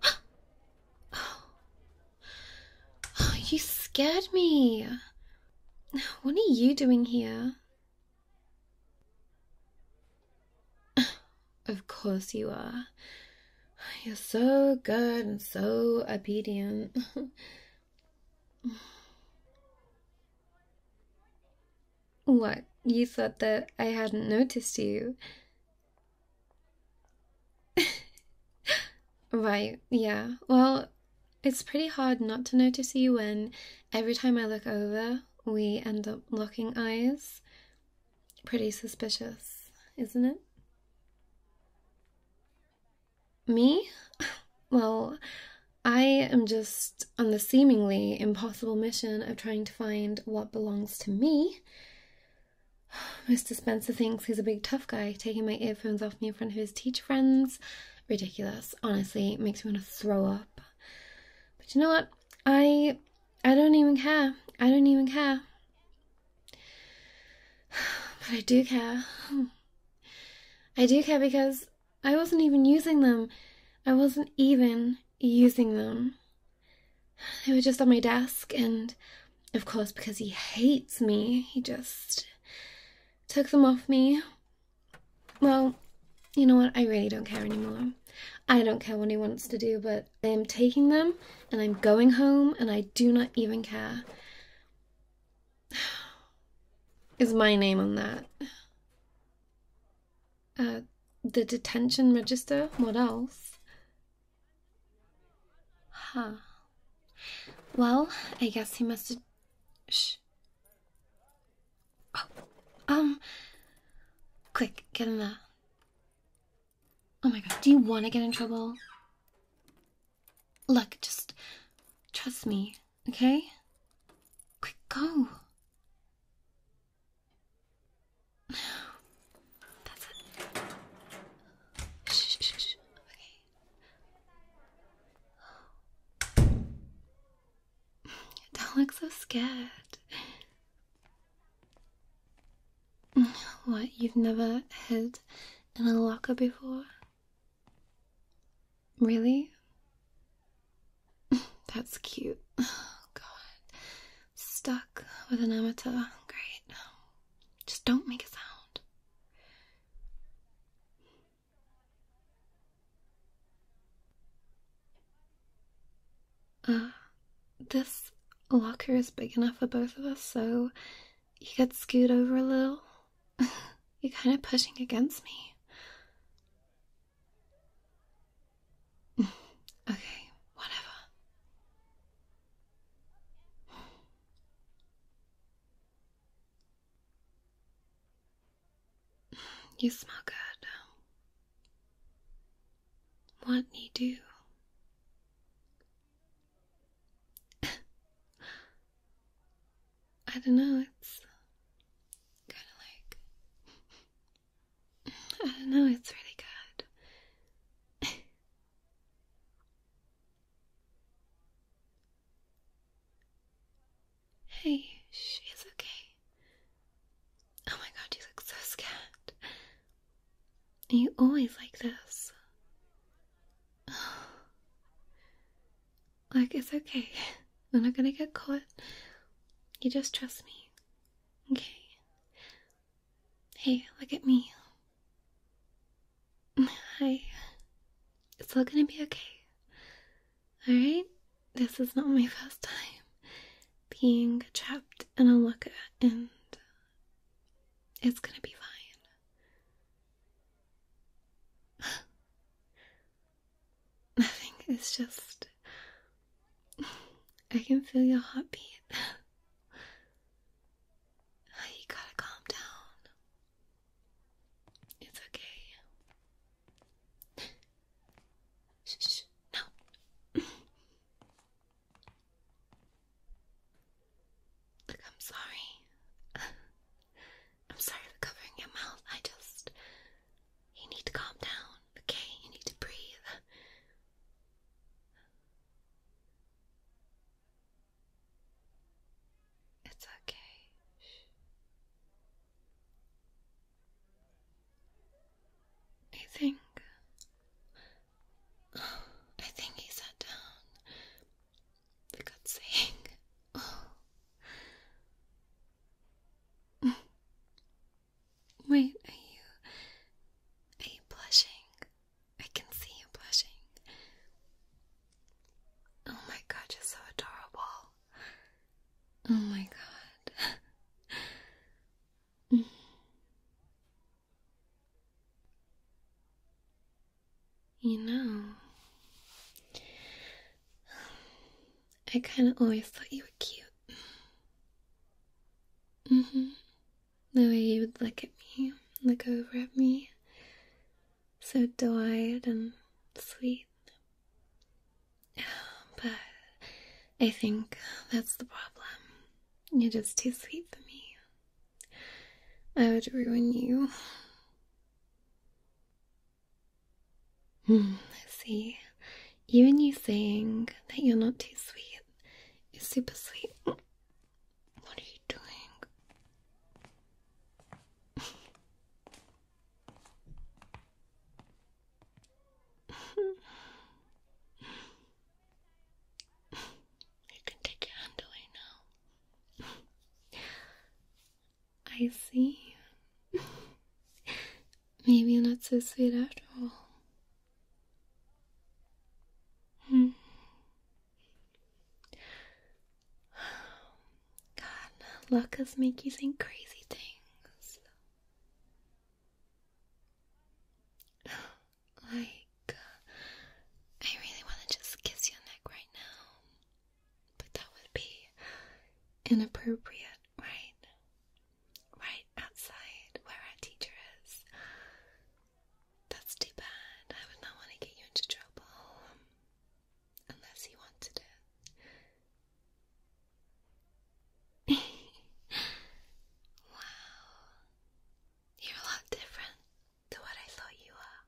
Oh, you scared me. What are you doing here? Of course you are. You're so good and so obedient. What? You thought that I hadn't noticed you? right, yeah. Well, it's pretty hard not to notice you when every time I look over, we end up locking eyes. Pretty suspicious, isn't it? Me? Well, I am just on the seemingly impossible mission of trying to find what belongs to me. Mr. Spencer thinks he's a big tough guy, taking my earphones off me in front of his teacher friends. Ridiculous. Honestly, makes me want to throw up. But you know what? I I don't even care. I don't even care. But I do care. I do care because I wasn't even using them. I wasn't even using them. They were just on my desk, and of course, because he hates me, he just took them off me. Well, you know what? I really don't care anymore. I don't care what he wants to do, but I am taking them and I'm going home and I do not even care is my name on that. Uh, the detention register? What else? Huh. Well, I guess he must have. Shh. Oh, um. Quick, get in there. Oh my god, do you want to get in trouble? Look, just trust me okay? Quick, go. Shh, shh, shh. Okay. Don't look so scared. What, you've never hid in a locker before? Really? That's cute. Oh, God. Stuck with an amateur. Great. Just don't make a sound. Uh, this locker is big enough for both of us, so you could scoot over a little. You're kind of pushing against me. okay, whatever. You smell good. What you do? I don't know, it's kind of like. I don't know, it's really good. hey, she's okay. Oh my god, you look so scared. You always like this. Oh. Like, it's okay. We're not gonna get caught. You just trust me. Okay? Hey, look at me. Hi. It's all gonna be okay. Alright? This is not my first time being trapped in a locker, and it's gonna be fine. Nothing. think it's just. I can feel your heartbeat. Oh, you gotta calm down. It's okay. shh, no. Look, I'm sorry. I'm sorry for covering your mouth. I just. You need to calm down, okay? You need to breathe. It's okay. I think. I think he sat down. For God's sake. Wait, are you. Are you blushing? I can see you blushing. Oh my god, you're so adorable. Oh my god. you know, I kind of always thought you were cute. Mm hmm. The way you would look at me, look over at me, so doe eyed and sweet. But I think that's the problem. You're just too sweet for me. I would ruin you. See, even you saying that you're not too sweet is super sweet. What are you doing? you can take your hand away now. I see. Maybe not so sweet after all. Hmm. God, Lucas make you think crazy things. Like, I really want to just kiss your neck right now. But that would be inappropriate, right? Right outside where our teacher is. That's too bad. I would not want to get you into trouble. Um, unless you wanted it. wow. You're a lot different to what I thought you were.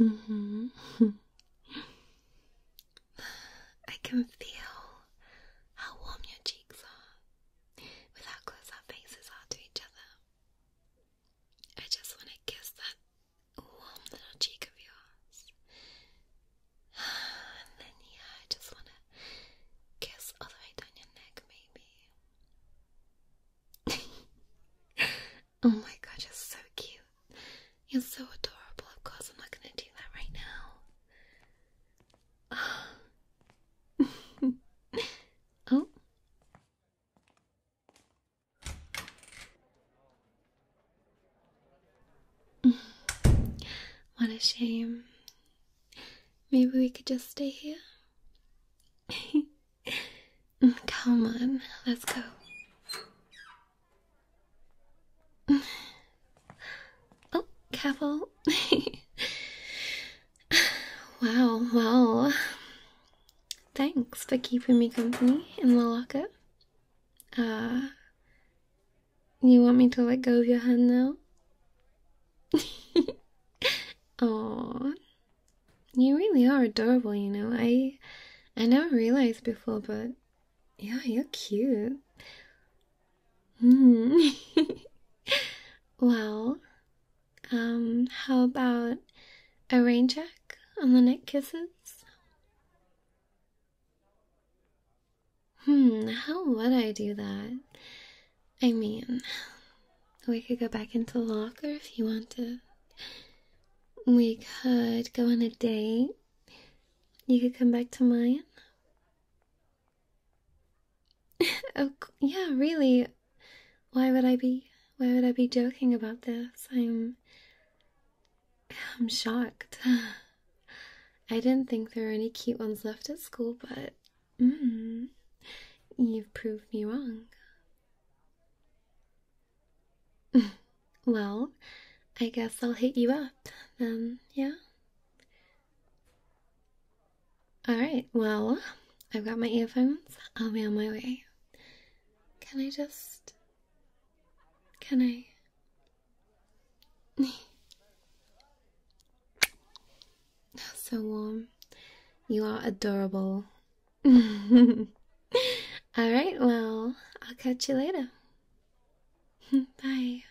Mm-hmm. I can feel how warm your cheeks are with how close our faces are to each other. I just want to kiss that warm little cheek of yours. And then, yeah, I just want to kiss all the way down your neck, maybe. Oh my god, you're so cute. You're so adorable. Of course, I'm not gonna do that right now. Um. oh. Mm. What a shame. Maybe we could just stay here? Mm, come on, let's go. oh, careful. wow, wow. Thanks for keeping me company in the locker. Uh, you want me to let go of your hand now? Oh, You really are adorable, you know. I I never realized before, but yeah, you're cute. Hmm. well, um, how about a rain check on the neck kisses? Hmm, how would I do that? I mean, we could go back into the locker if you want to. We could go on a date. You could come back to mine. oh, yeah, really. Why would I be why would I be joking about this? I'm I'm shocked. I didn't think there were any cute ones left at school, but mm, you've proved me wrong. well, I guess I'll hit you up then, yeah? Alright, well, I've got my earphones. I'll be on my way. Can I just. Can I? so warm. You are adorable. All right, well, I'll catch you later. Bye.